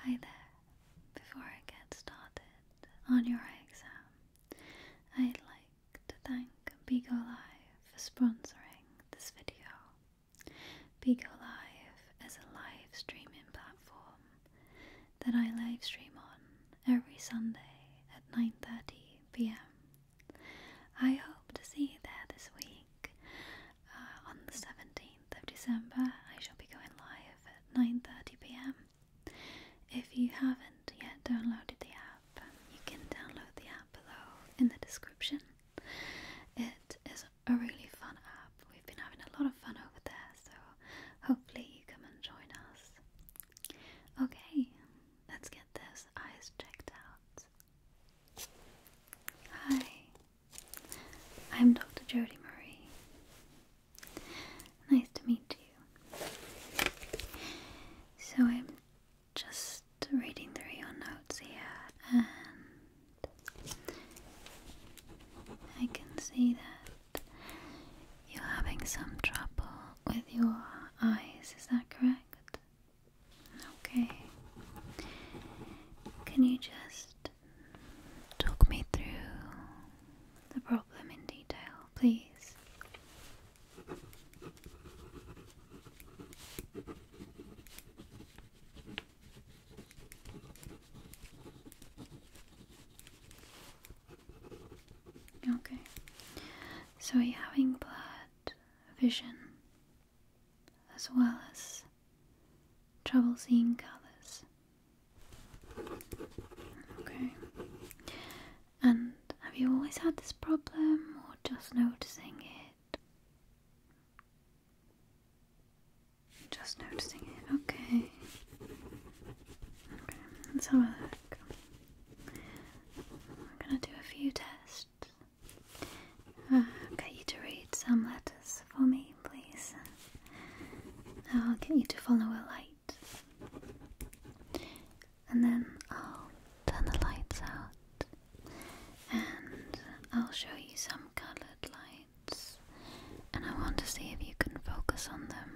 Hi there. Before I get started on your exam, I'd like to thank Bigo Live for sponsoring this video. Bigo Live is a live streaming platform that I live stream on every Sunday at 9:30 p.m. I hope to see you there this week. Uh, on the 17th of December, I shall be going live at 9.30pm. If you haven't yet downloaded the app, you can download the app below in the description. It is a really fun app. We've been having a lot of fun over there, so hopefully you come and join us. Okay, let's get those eyes checked out. Hi, I'm Dr. Jodie Marie. Nice to meet you. So I'm just reading through your notes here, and I can see that you're having some trouble with your eyes, is that correct? Okay. Can you just Talk me through the problem in detail, please. Okay, so you having blood vision as well as trouble seeing colors. Okay. And have you always had this problem or just noticing it? Just noticing it, okay. Okay, let's have a look. I'm gonna do a few tests. Uh, get you to read some letters for me please. I'll get you to follow a light. And then I'll turn the lights out. And I'll show you some coloured lights. And I want to see if you can focus on them.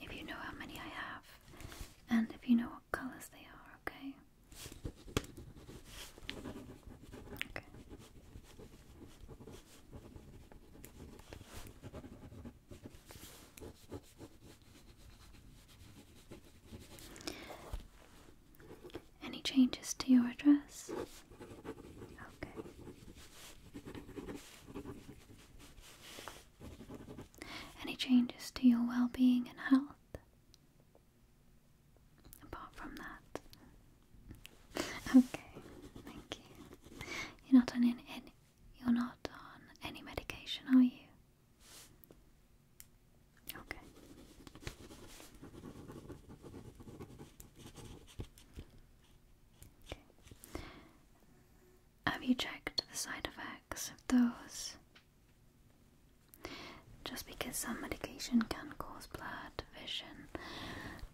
If you know how many I have. And if you know what colours they are, okay? Okay. Any changes to your address? Okay. Any changes to your well being and health? apart from that. okay, thank you. You're not on any, you're not on any medication, are you? Okay. okay. Have you checked the side effects of those? just because some medication can cause blurred vision.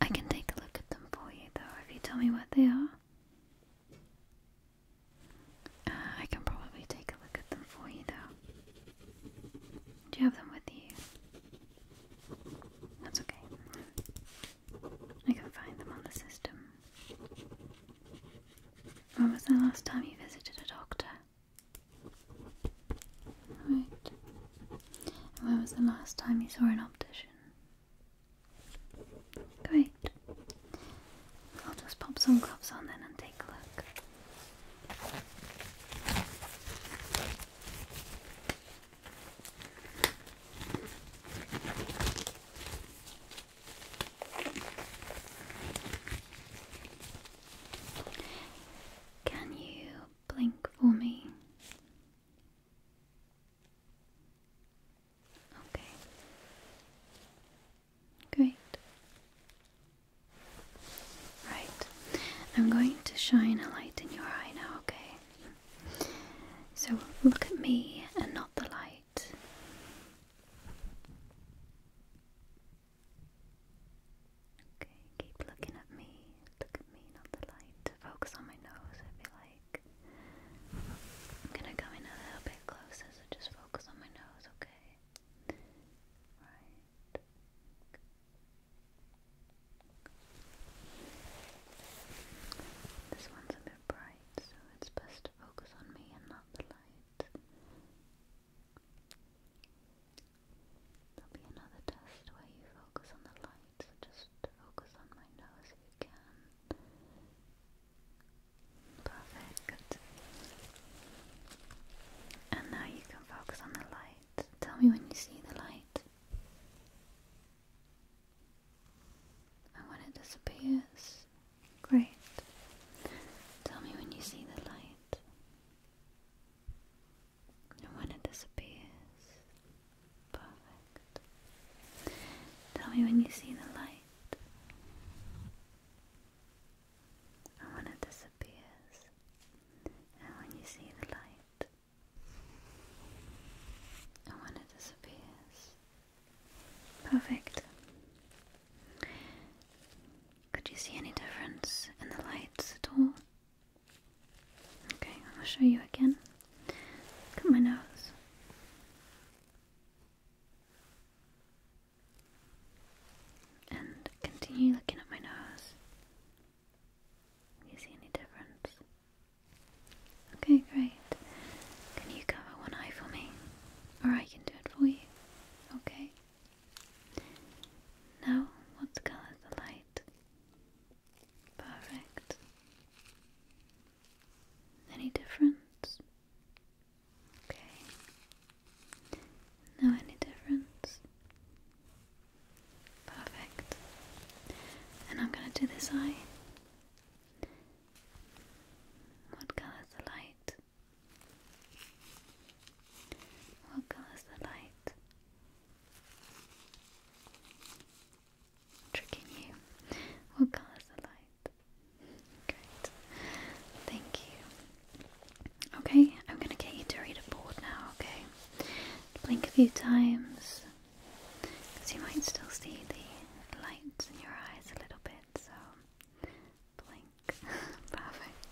I can take a look at them for you though, if you tell me what they are. Uh, I can probably take a look at them for you though. Do you have them with you? That's okay. I can find them on the system. When was the last time you visited a doctor? Right. when was the last time you saw an optician? Great. I'll just pop some gloves on then and take a look. Can you blink for me. Okay. Great. Right. I'm going to shine a light in your eye now, okay? So look at me and not the light. Okay, keep looking at me. Look at me, not the light. Focus on my nose, I feel like. I'm gonna come in a little bit closer, so just focus on my nose, okay? Right. This one's a bit bright, so it's best to focus on me and not the light. There'll be another test where you focus on the light, just focus on my nose if you can. Perfect, good. And now you can focus on the light. Tell me when you see the light. when it disappears. Great. Tell me when you see the light. And when it disappears, perfect. Tell me when you see the light. And when it disappears, and when you see the light. And when it disappears, perfect. Could you see any difference in the lights at all? Okay, I'll show you again. Look at my nose. And continue looking at my nose. Do you see any difference? Okay, great. Can you cover one eye for me? Or I can do it for you. Okay. Now, what color the light? Perfect. Any difference? Okay. No, any difference? Perfect. And I'm going to do this eye. What color the light? What color is the light? Tricking you. What colour's the light? Great. Thank you. Okay, I'm gonna get you to read a board now, okay? Blink a few times. Because you might still see the lights in your eyes a little bit, so blink. Perfect.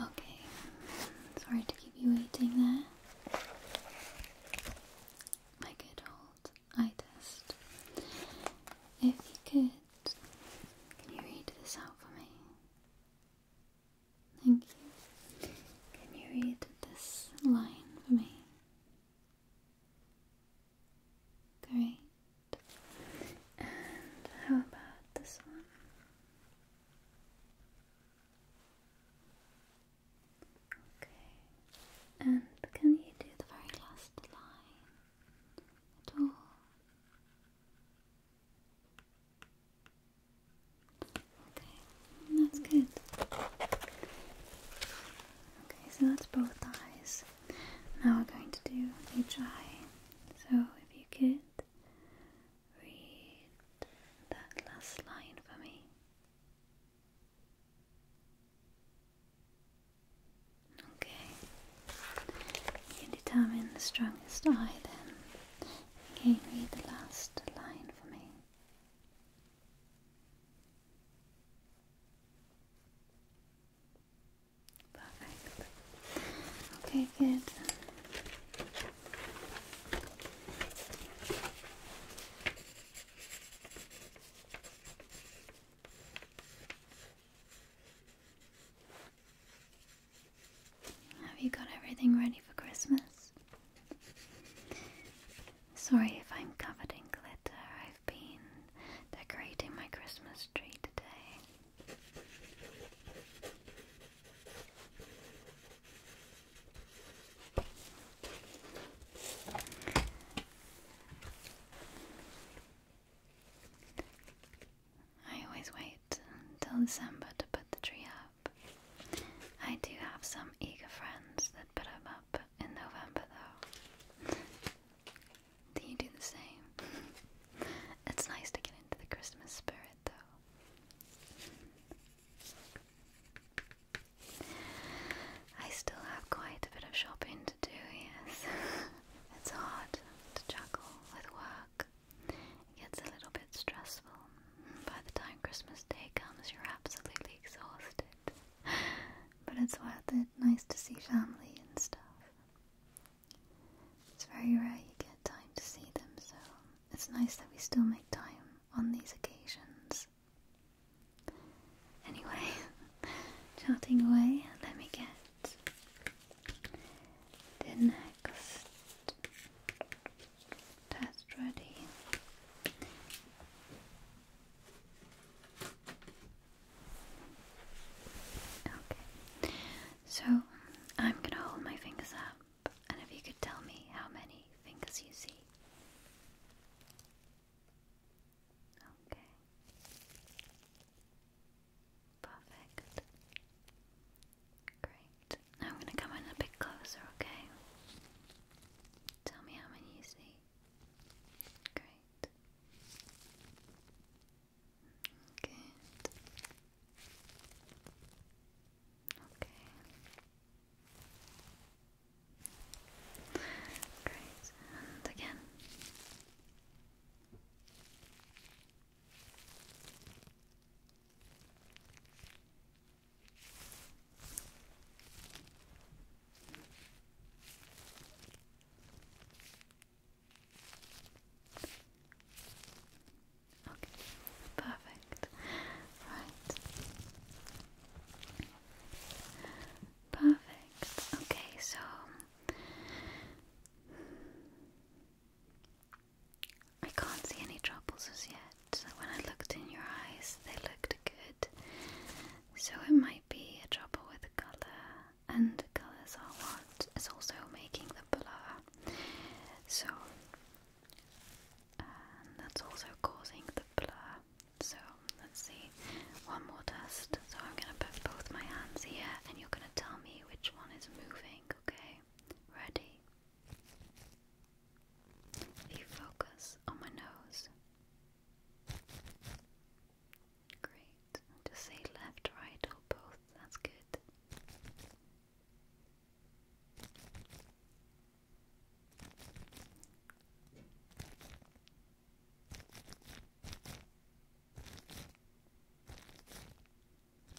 Okay, sorry to keep you waiting there. My good old I just. If you could, can you read this out for me? Thank you. Can you read this line for me? Great. And how about this one? Okay. And can you do the very last line at all? Okay, that's good. Okay, so that's both eyes. Now we're going to do each eye. So if you could read that last line for me. Okay. You determine the strongest eye then. Again, read the last line for me. Perfect. Okay, good. Have you got everything ready for Christmas? Sorry if I'm covered in glitter. I've been decorating my Christmas tree today. I always wait until December to put the tree up. I do have some eager friends that put them up in November though. do you do the same? it's nice to get into the Christmas spirit though. I still have quite a bit of shopping to do, yes. it's hard to juggle with work. It gets a little bit stressful. By the time Christmas Day comes, you're absolutely exhausted. But it's worth it. Nice to see family and stuff. It's very rare you get time to see them, so it's nice that we still make time on these occasions. Anyway, chatting away, let me get the next test ready. Okay, so I'm gonna hold my fingers up, and if you could tell me how many fingers you see. Okay. Perfect. Great. I'm going to come in a bit closer, okay? Tell me how many you see. Great. Good. Okay. Great, and again. Okay, perfect. Right. Perfect. Okay, so I can't see any troubles as yet. when I looked in your eyes, they looked good. So it might be a trouble with the color, and colors are what is also making the blur. So. that's also causing the blur. So let's see, one more test. So I'm gonna put both my hands here and you're gonna tell me which one is moving, okay? Ready? You focus on my nose. Great. Just say left, right, or both. That's good. Okay, perfect.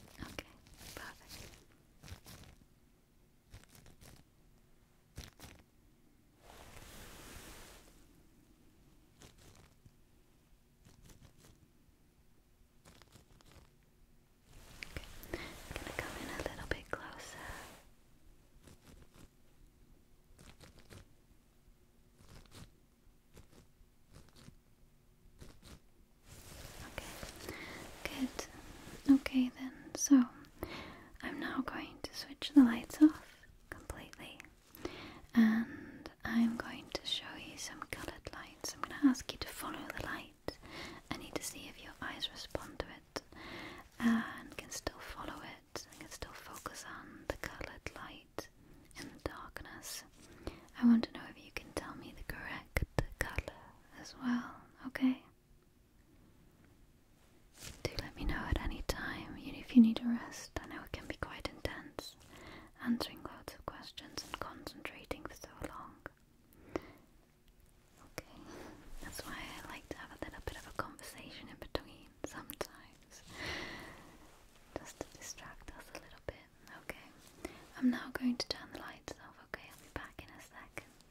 Okay. I'm gonna come in a little bit closer. Okay, good. Okay, then, so I'm now going to switch the lights off completely and I'm going to show you some colored lights. I'm going to ask you to follow the light. I need to see if your eyes respond to it and can still follow it can still focus on the colored light in darkness. I want to know if you can tell me the correct color as well, okay? Do let me know at any time if you need a rest. I know it can be quite intense answering lots of questions and concentrating for so long. Okay, that's why I like to have a little bit of a conversation in between sometimes, just to distract us a little bit. Okay, I'm now going to turn the lights off. Okay, I'll be back in a second.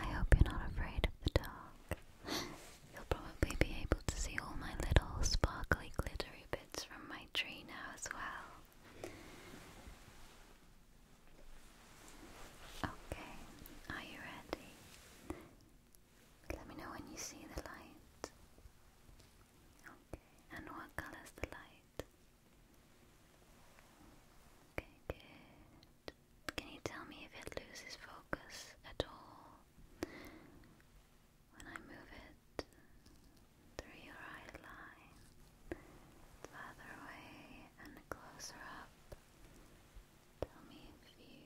I hope you're not afraid of the dark. You'll probably be able to see all my little sparkly glittery it's from my tree now as well. Okay, are you ready? Let me know when you see the light. Okay, and what color's the light? Okay, Can you tell me if it loses focus at all? when I move it through your eye line, further away and closer up. Tell me if you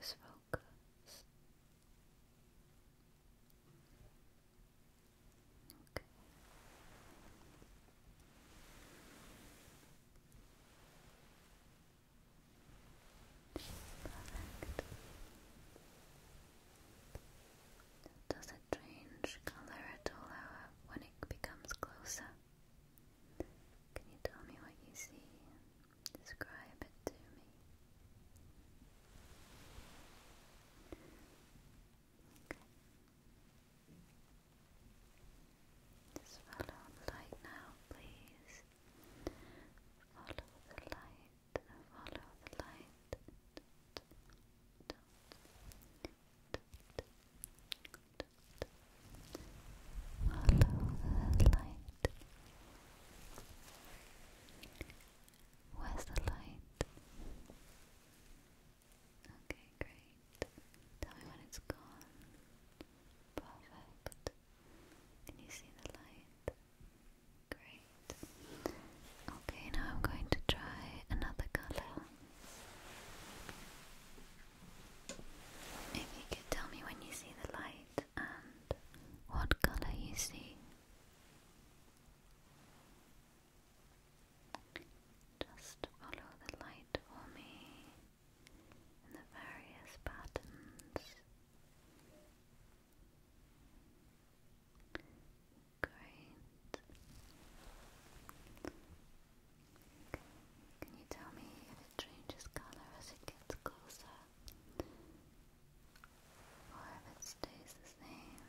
lose focus. Okay. Does it change color at all hour when it becomes closer? Can you tell me what you see describe it to me? Okay. the light now, please. Follow the light, follow the light. Follow the light. Where's the light? Okay, great. Tell me when it's gone. Perfect. Can you see the light? Great. Okay, now I'm going to try another color. If you could tell me when you see the light and what color you see. Just follow the light for me in the various patterns Great. Can you tell me if it changes color as it gets closer? Or if it stays the same?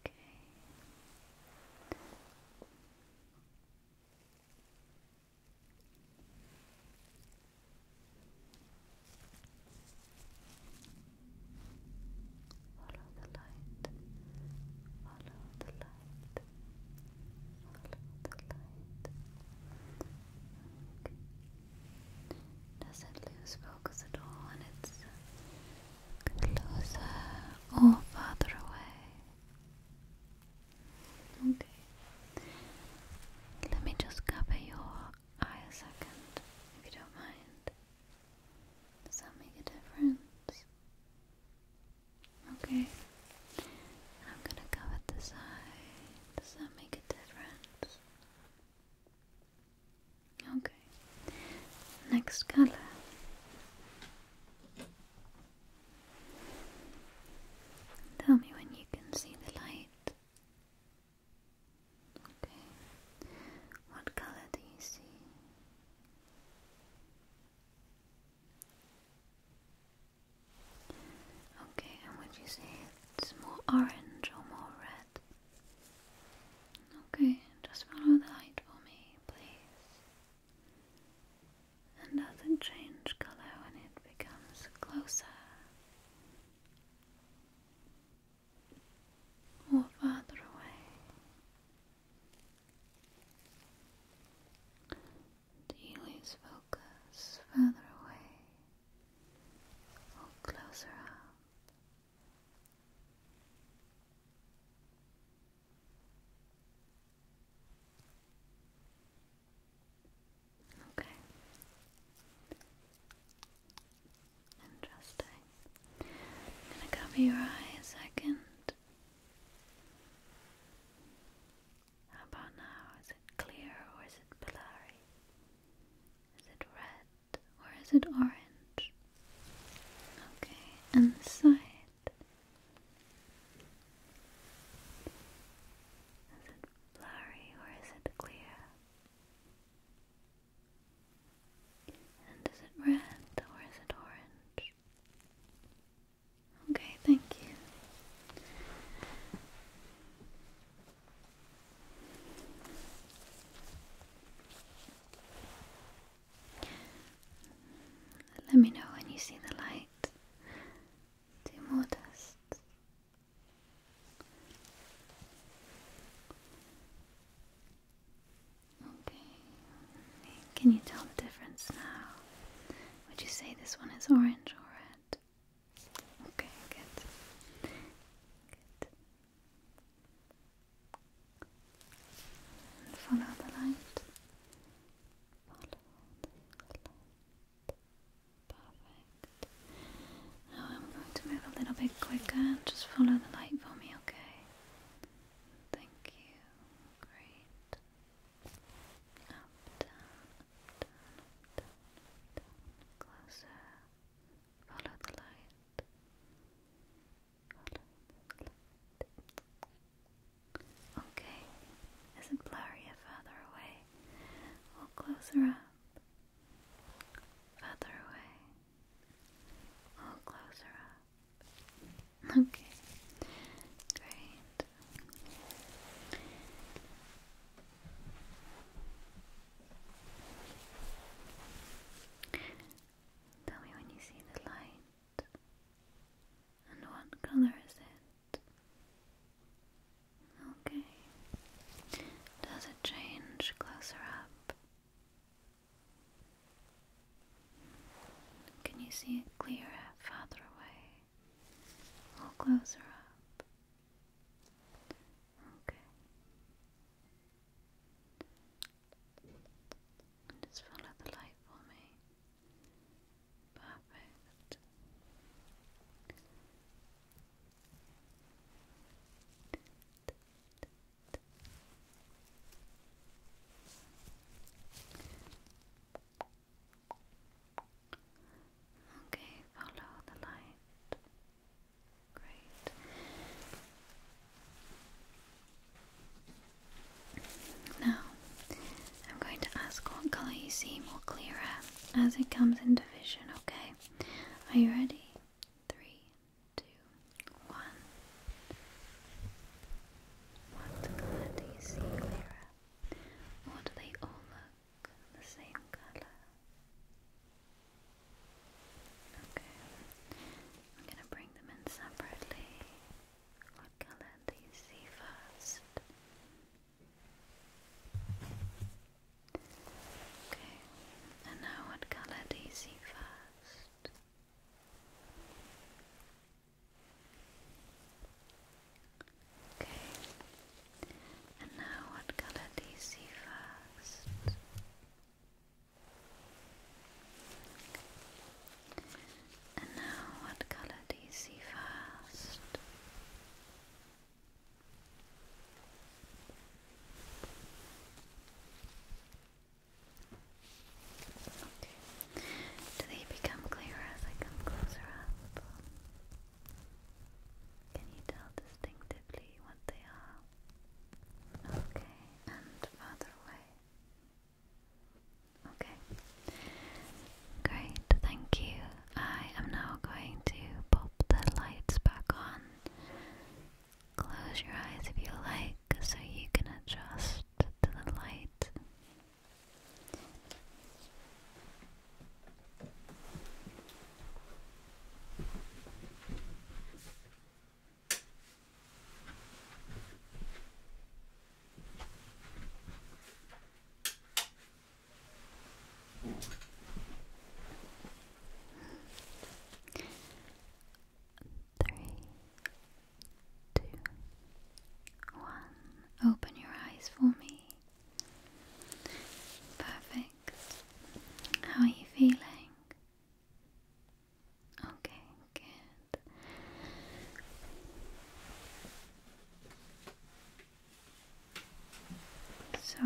Okay. Follow the light. Follow the light. Follow the light. Doesn't lose focus at all, and it's closer or farther away. Okay. Let me just cover your eye a second, if you don't mind. Does that make a difference? Okay. I'm gonna cover this eye. Does that make a difference? Okay. Next color. Tell me when you can see the light. Okay. What color do you see? Okay, and would you say it's more orange or more red? Okay, just follow the light for me, please and doesn't change color when it becomes closer or farther away. Do you lose focus further away or closer up? Okay. Interesting. I'm gonna cover your eye second. How about now? Is it clear or is it blurry? Is it red or is it orange? Okay, and this side. Is it blurry or is it clear? And is it red or is it orange? Okay, thank you. Let me know when you see the light. Do more tests. Okay. Can you tell the difference now? Would you say this one is orange or red? Okay, good. Good follow the light. Perfect. Now I'm going to move a little bit quicker just follow the light for me, okay? Thank you. Great. Up, down, down, down. Closer. Follow the light. Okay, is it blurrier further away or closer up? Further away or closer up? Okay, great. Tell me when you see the light. And what color is it? Okay. Does it change closer up? Can you see it clearer farther away closer up? Okay. And just follow the light for me. Perfect. Okay, follow the light. Great. Now, I'm going to ask what colour you see more clearer as it comes into vision, okay? Are you ready? Three, two, one. What colour do you see clearer? Or do they all look the same colour? Okay. I'm gonna bring them in separately. What color do you see first? Okay. And now what color do you see first? Okay. And now what color do you see first? And now, what color do you see first? Do they become clearer as I come closer up? Can you tell distinctively what they are? Okay, and further away. Okay, great, thank you. I am now going to pop the lights back on. Close your eyes if you like, so you can adjust to the light. Three, two, one. Open your eyes for me. Perfect. How are you feeling? Okay, good. So,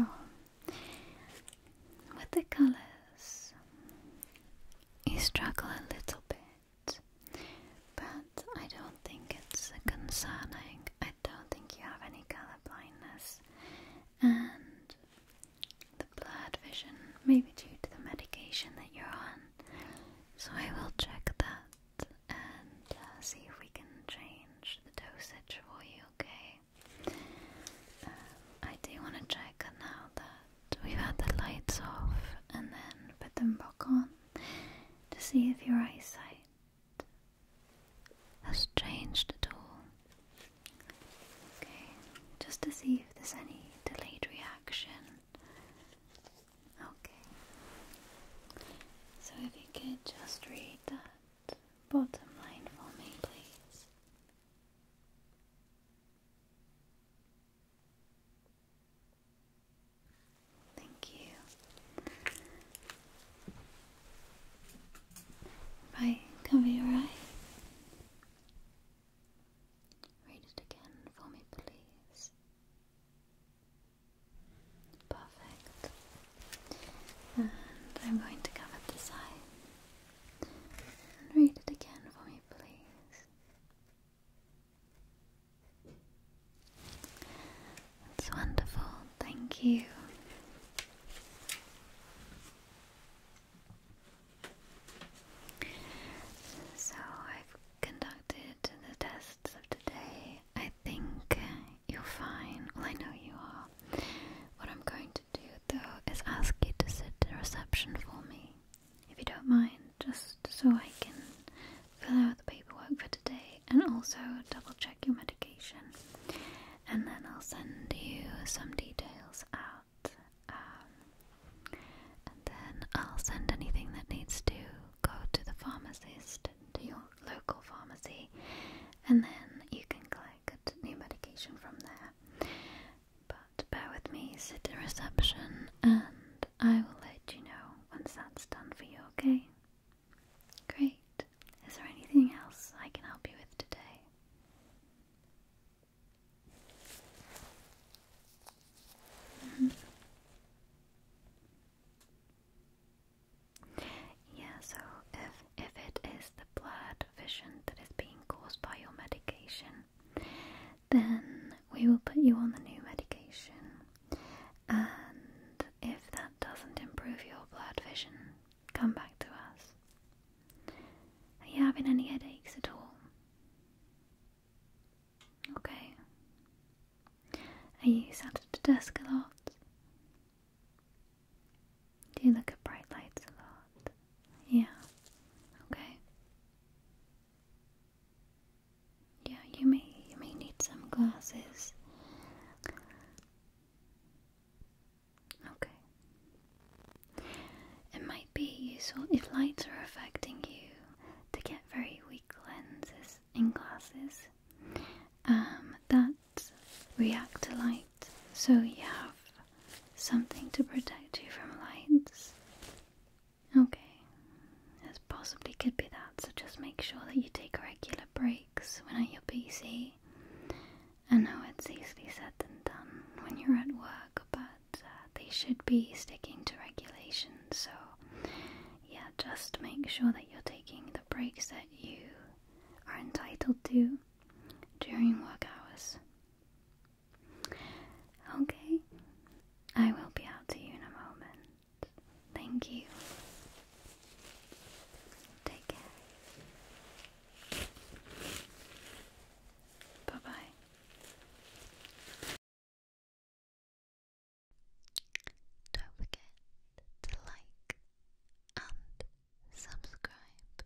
with the colors, you struggle a little bit, but I don't think it's concerning. I don't think you have any color blindness, and the blurred vision, maybe due to the medication that you're on. So I will check that and uh, see if we can change the dosage for you, okay? Um, I do want to check now that we've had the lights off and then put them back on to see if your eyesight has changed at all. Okay, just to see if there's any delayed reaction. Okay, so if you could just read that bottom line for me, please. Thank you. If cover your eye. Read it again for me, please. Perfect. And I'm going to cover this eye. read it again for me, please. That's wonderful. Thank you. So I've conducted the tests of today. I think you're fine. Well, I know you are. What I'm going to do though is ask you to sit to reception for me, if you don't mind, just so I can fill out the paperwork for today and also double check your medication. And then I'll send you some details out. Um, and then I'll send anything that needs to go to the pharmacist, to your local pharmacy, and then you can collect new medication from there. But bear with me, sit in reception, and I will let you know once that's done for you, okay? Great. Is there anything else I can help you with today? Mm-hmm. Yeah, so if if it is the blurred vision that is being caused by your medication, then we will put you on the new medication. And if that doesn't improve your blurred vision, come back to us. Are you having any headaches at all? Okay. Are you sat at the desk a lot? Do you look at bright lights a lot? Yeah. Okay. Yeah, you may you may need some glasses. Okay. It might be useful if lights are affecting you to get very weak lenses in glasses um, that react to light, so you have something to protect you from lights. Okay. As possibly could be that, so just make sure that you take regular breaks when at your PC I know it's easily said than done when you're at work, but uh, they should be sticking to regulations, so yeah, just make sure that you're taking the breaks that you are entitled to during work hours. Okay, I will be out to you in a moment. Thank you. Take care. Bye bye. Don't forget to like and subscribe.